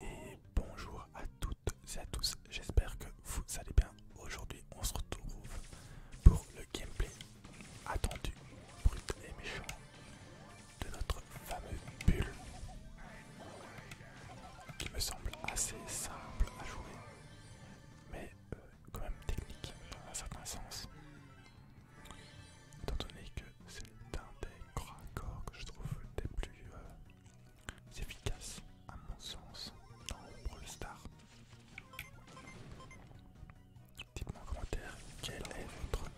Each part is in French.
Et bonjour à toutes et à tous, j'espère que vous allez bien. Aujourd'hui on se retrouve pour le gameplay attendu, brut et méchant de notre fameux bulle qui me semble assez simple à jouer mais euh, quand même technique dans un certain sens étant donné que c'est un des grands corps que je trouve des plus euh, efficace à mon sens dans Brawl Star. Dites-moi en commentaire quel est votre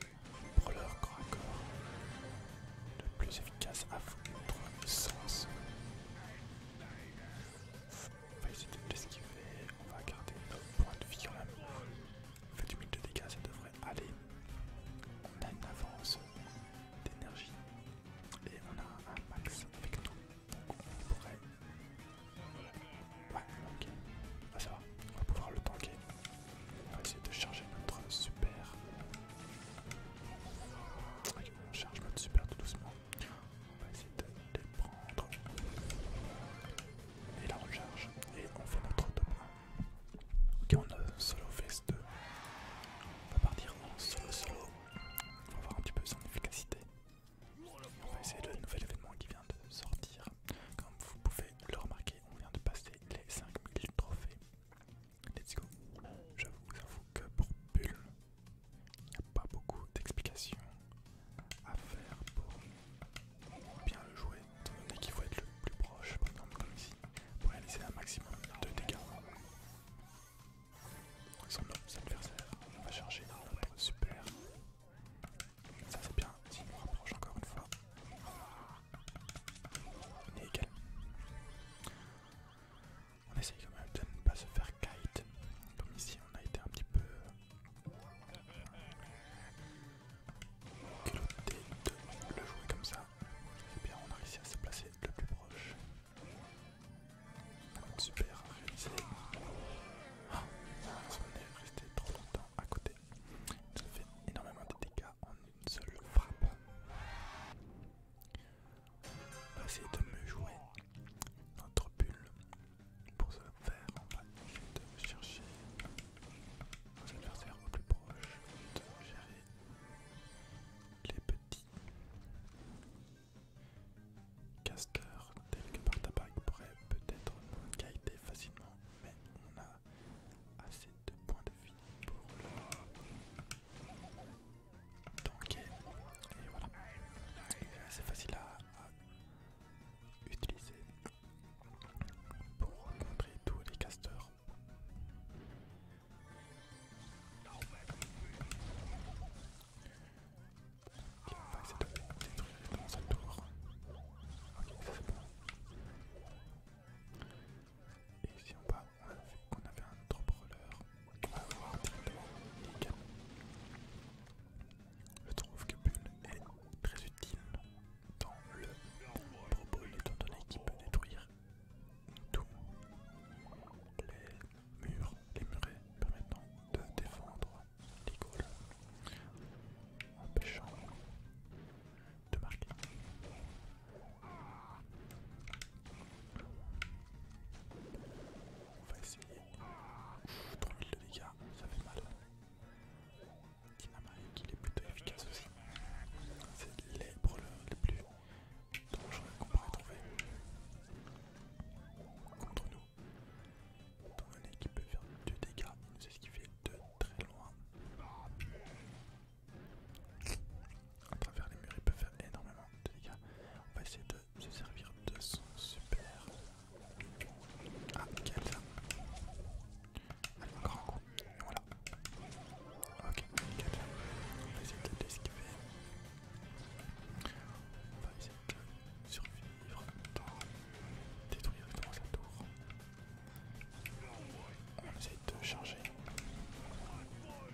brawler corps à corps le plus efficace à votre sens. On va essayer de l'esquiver, on va garder nos point de vie en la On fait du mille de dégâts, ça devrait aller. On a une avance d'énergie et on a un max avec nous. on pourrait. Ouais, ok. Ah, ça va, on va pouvoir le tanker. On va essayer de charger notre super. Ok, ah, on charge notre super tout doucement. On va essayer de les prendre. Et la recharge. Et on fait notre tour Ok, on a solo phase 2. On va partir en solo solo. On va voir un petit peu son efficacité. On va essayer le nouvel événement qui vient de sortir. Comme vous pouvez le remarquer, on vient de passer les 5000 trophées. Let's go. J'avoue, j'avoue que pour Bull, il n'y a pas beaucoup d'explications à faire pour bien le jouer, étant donné qu'il faut être le plus proche, par exemple comme ici, pour réaliser un maximum de dégâts. Son adversaires, on va charger notre super. Ça c'est bien, s'il nous rapproche encore une fois. On est égal. On essaye quand même de ne pas se faire kite. Comme ici on a été un petit peu le jouer comme ça eh bien, on a réussi à se placer le plus proche. Super réalisé. Ah, on est resté trop longtemps à côté. Ça fait énormément de dégâts en une seule frappe. On va essayer de mieux jouer notre bulle pour ça faire On va chercher nos adversaires au plus proche, de gérer les petits casters, tel que Bartabag pourrait peut-être nous guider facilement, mais on a assez de points de vie pour le tanker. Et voilà, c'est facile à utiliser pour rencontrer tous les casteurs. On va essayer de détruire dans sa tour. Ok, ça c'est bon. Et ici en bas, on a vu qu'on avait un drop roller. On va voir directement. Nickel. Je trouve que Bull est très utile dans le propos étant donné qu'il peut détruire tous Les murs, les murets permettant de défendre les gaules, empêchant de marquer. On va essayer. 3000 de dégâts, ça fait mal. Dynamite, il est plutôt efficace aussi. C'est les brûleurs les plus dangereux qu'on peut trouver contre nous. Étant donné qui peut faire 2 dégâts, ce qu'il fait de très loin. À travers les murs, il peut faire énormément de dégâts. On va essayer de se servir de son super ah, nickel ça. Allez, encore un coup. voilà. Ok, nickel. On va essayer de l'escaper. On va essayer de survivre dans détruire dans sa tour. On va essayer de charger notre pouvoir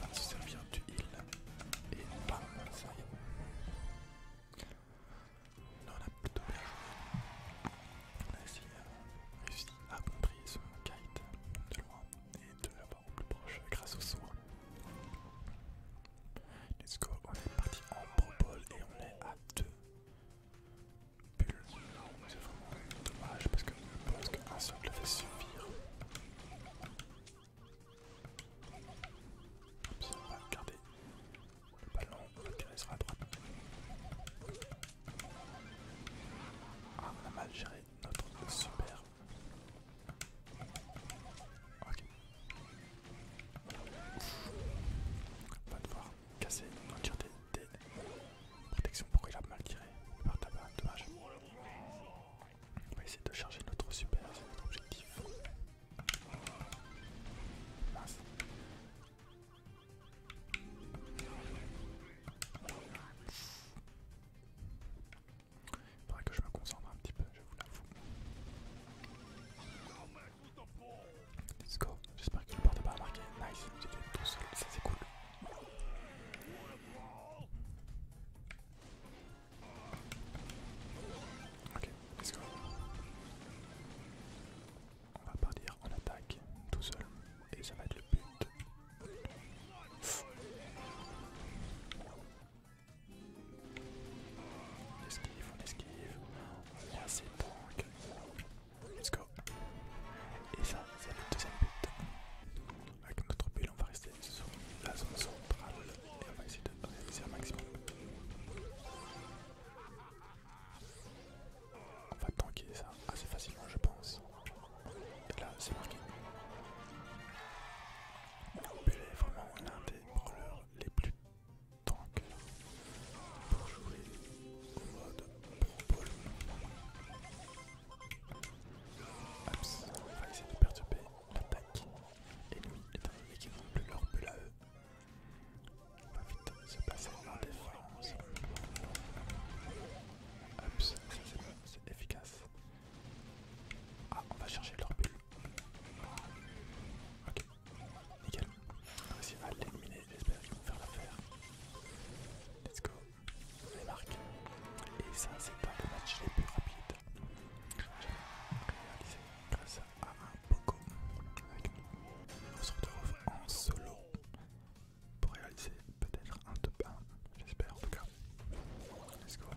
va se du heal et on a plutôt bien joué. On euh, réussi à contrer ce kite de loin et de l'avoir au plus proche grâce au soin. Let's go, on est parti en pro et on est à deux. C'est dommage parce que je qu'un seul fait suffire on va garder le ballon, on va la droite. Ah, on a mal géré notre super. Ok. On va devoir casser nos tirs des, des protections. Pourquoi il a mal tiré par Dommage. On va essayer de charger notre super, c'est notre objectif. Il faudrait que je me concentre un petit peu, je vous l'avoue. Let's go, j'espère qu'il ne porte pas à marquer. Nice, j'ai tout seul, ça c'est cool. Ok, let's go. On va partir en attaque tout seul et ça va être le but. On esquive, on esquive. On est assez tank. Let's go. Et ça, c'est le deuxième but. Avec notre bulle, on va rester sur la zone centrale et on va essayer de réaliser un maximum. On va tanker ça assez facilement, je pense. Et là, c'est marqué. Bulle est vraiment l'un des brawlers les plus tanks pour jouer au mode Pro Hops, on va essayer de perturber l'attaque. L'ennemi étant donné qu'ils n'ont plus leur bulle à eux. On va vite se passer en défense. Hops, c'est efficace. Ah, on va chercher leur bulle. Ok, nickel. On va essayer de l'éliminer, j'espère qu'ils vont faire l'affaire. Let's go les marques. Et ça, c'est un des matchs les plus rapides. que Réalisé grâce à un Poco avec nous. On se retrouve en solo pour réaliser peut-être un top 1, j'espère en tout cas. Let's go. On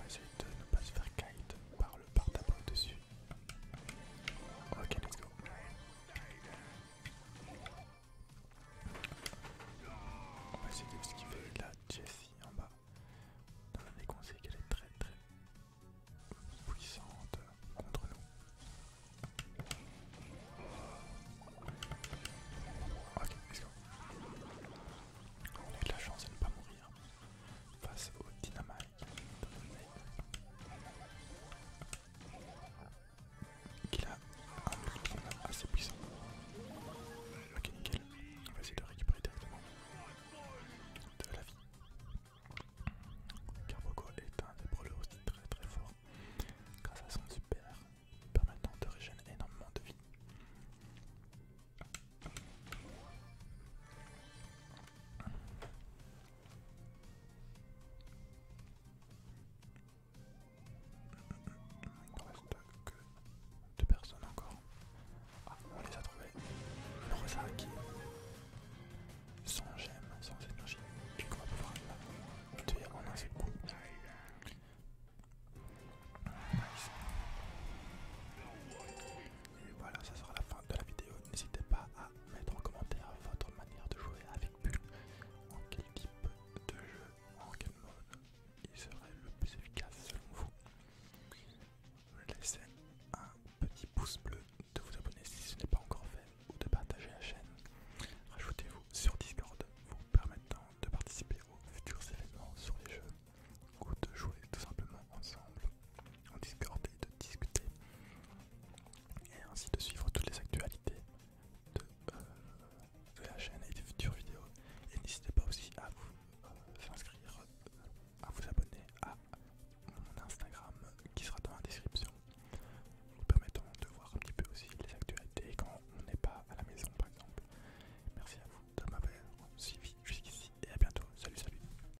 va essayer de ne pas se faire kite par le par au-dessus. Ok, let's go. On va essayer de veut la Jessie en bas. on a des conseils qu'elle est très très puissante contre nous. Ok, let's go. On a de la chance de ne pas mourir face au dynamite qu'il a ah, un assez puissant. Ok, nickel. On va essayer de récupérer directement de la vie. Carboko est un des brûleurs aussi très très fort. Grâce à son super permettant de régénérer énormément de vie. Il ne reste que deux personnes encore. Ah, on les a trouvés. Le rosa qui sans gemme, sans énergie, puis on va pouvoir la tuer en un seul coup. Nice. Et voilà, ça sera la fin de la vidéo. N'hésitez pas à mettre en commentaire votre manière de jouer avec Bull, en quel type de jeu, en quel mode il serait le plus efficace selon vous. Laissez un petit pouce bleu, de vous abonner si ce n'est pas encore fait ou de partager la chaîne. Rajoutez-vous sur Discord vous permettant de participer aux futurs événements sur les jeux ou de jouer tout simplement ensemble, on et de discuter et ainsi de suivre toutes les actualités de, euh, la chaîne et des futures vidéos. Et n'hésitez pas aussi à vous euh, inscrire, euh, à vous abonner à mon Instagram qui sera dans la description, nous permettant de voir un petit peu aussi les actualités quand on n'est pas à la maison par exemple. Merci à vous de m'avoir suivi jusqu'ici et à bientôt. Salut, salut.